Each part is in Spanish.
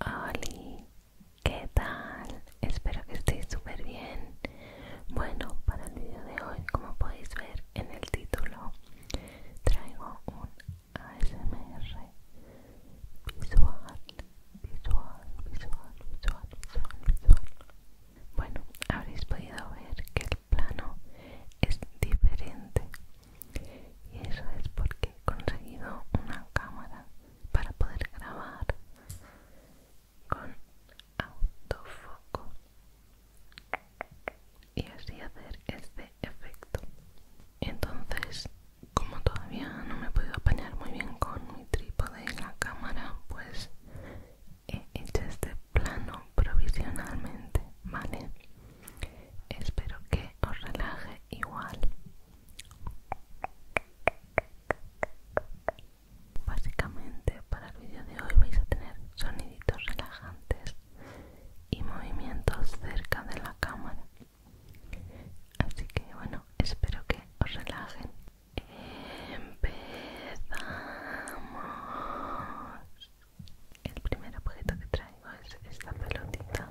¡Hola! ¿qué tal? Espero que estéis súper bien. Bueno, para el vídeo de hoy, como podéis ver en el título, traigo un ASMR visual, visual, visual, visual, visual, visual. Bueno, habréis podido ver que el plano es diferente y eso es porque he conseguido una cámara para poder grabar con autofoco y así hacer este efecto entonces como todavía no me he podido apañar muy bien con mi trípode en la cámara pues he hecho este plano provisionalmente vale espero que os relaje igual Básicamente para el vídeo de hoy vais a tener soniditos relajantes y movimientos cerca de la cámara. Así que bueno, espero que os relajen. Empezamos. El primer objeto que traigo es esta pelotita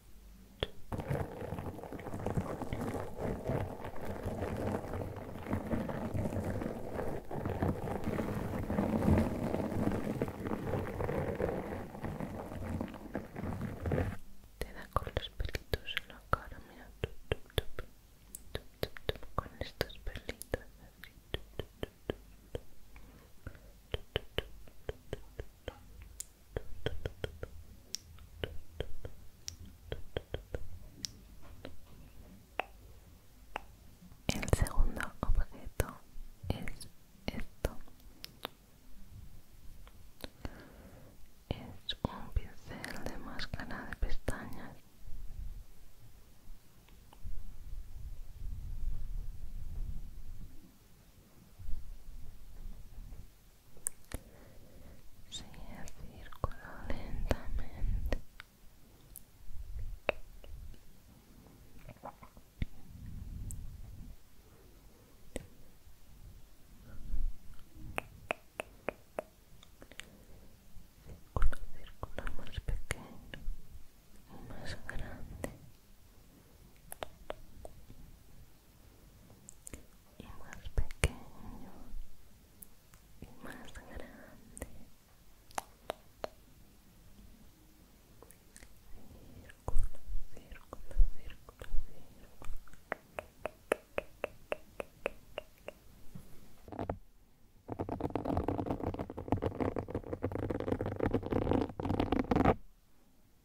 Te da con los pelitos en la cara, mira, con estos pelitos el segundo objeto es esto. Es un pincel de máscara de pestañas sigue el círculo lentamente círculo círculo más pequeño y más grande y más pequeño y más grande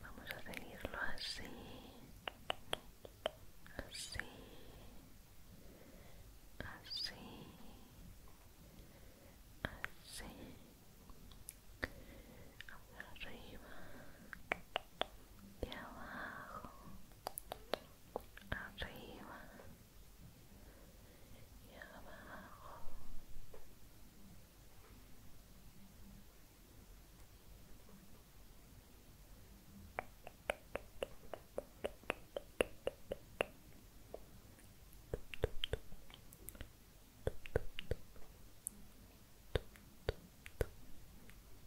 Vamos a seguirlo así, así, así, así, arriba, de abajo, arriba y abajo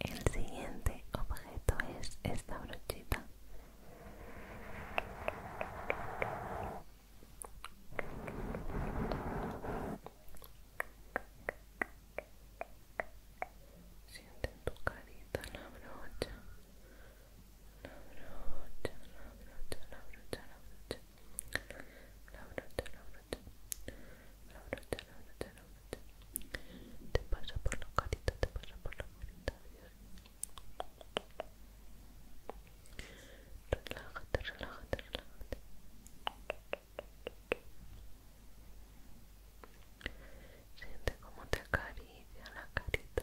El siguiente objeto es esta brochita. Siente en tu carita la brocha, la brocha, la brocha, la brocha, la brocha, la brocha, la brocha, la brocha, la brocha, la Te pasa por la carita, te pasa por la carita. Relájate, relájate, relájate. Siente como te acaricia la carita.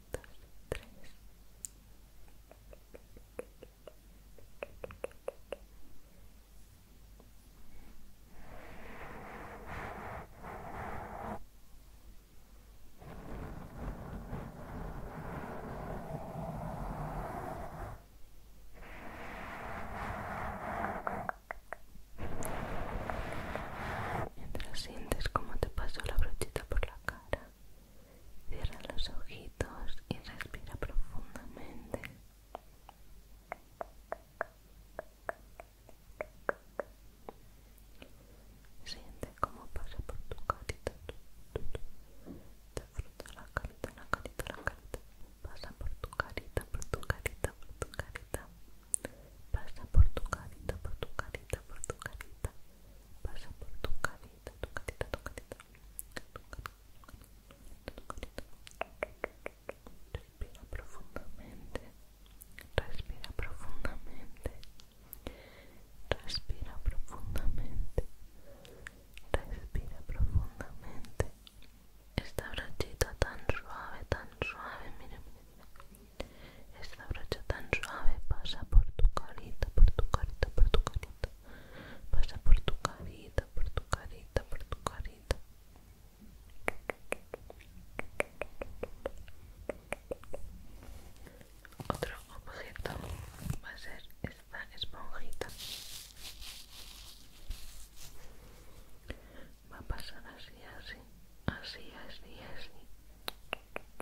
2, 3. Mientras sintes, ¿cómo te paso la brochita cara. Cierra los ojitos y respira profundamente. Siente cómo pasa por tu carita. Disfruta la carita, la carita, la carita. Pasa por tu carita, por tu carita, por tu carita pasa por tu carita, por tu carita, por tu carita, pasa por tu carita, tu carita, tu carita, Respira profundamente, respira profundamente, respira profundamente, respira profundamente. Esta brachita tan suave, tan suave, mira, mira, mira. Esta brocha tan suave pasa por tu carita, por tu carita, por tu carita. Pasa por tu carita, por tu carita, por tu carita. Otro objeto va a ser esta esponjita. Va a pasar así, así, así, así, así.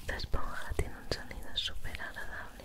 esta esponja tiene un sonido super agradable.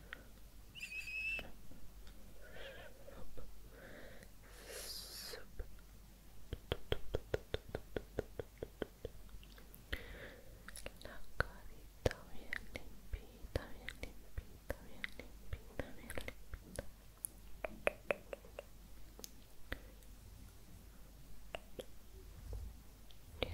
La carita bien bien bien limpita, bien limpita. Bien limpita, bien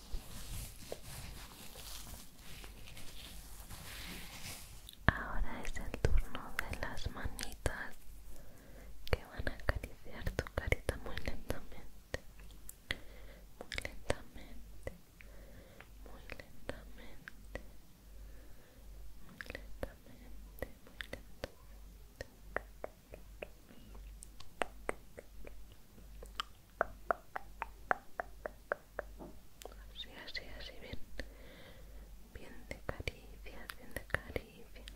Ahora es el turno de las manitas que van a acariciar tu carita muy lentamente, muy lentamente, muy lentamente, muy lentamente, muy lentamente. Así, así, así, bien. Bien de caricias, bien de caricias.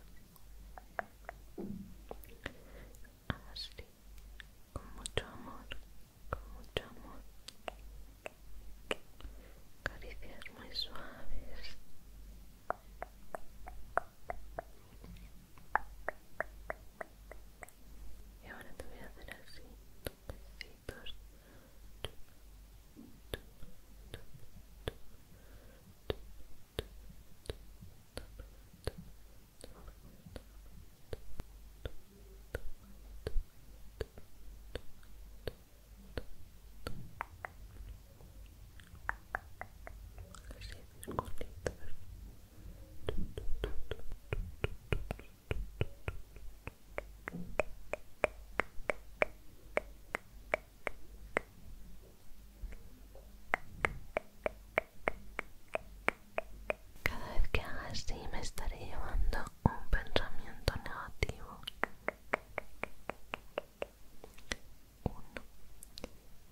Así, con mucho amor, con mucho amor. Caricias muy suaves. Y ahora te voy a hacer así, toquecitos cada vez que haga así me estaré llevando un pensamiento negativo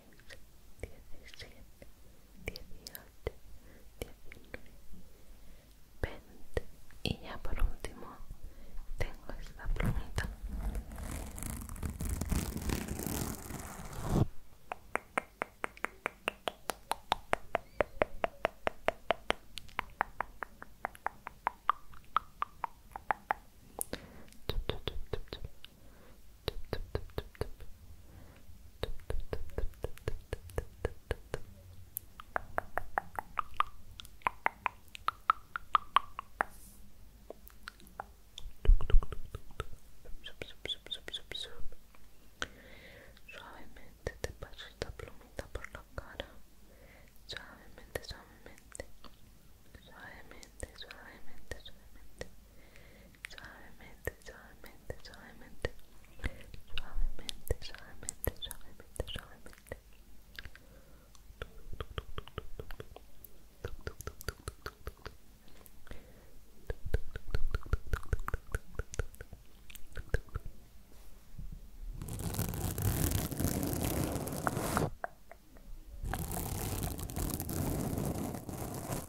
diecisiete, dieciocho, diecinueve, veinte y ya por último tengo esta plumita Suavemente te paso esta plumita por la cara. Suavemente, suavemente. Suavemente, suavemente, suavemente suavemente, suavemente, suavemente, suavemente, suavemente, suavemente, suavemente.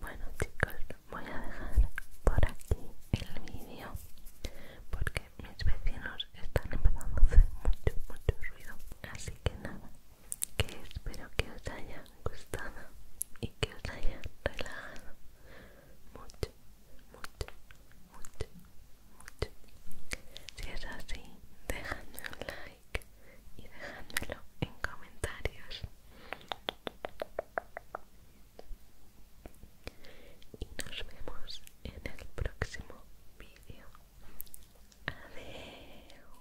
Bueno chicos, voy a dejar por aquí el vídeo porque mis vecinos están empezando a hacer mucho, mucho ruido. Así que nada, que espero que os haya gustado y que os haya relajado mucho, mucho, mucho, mucho. Si es así, dejadme un like y dejadmelo en comentarios. Y nos vemos en el próximo vídeo. Adiós.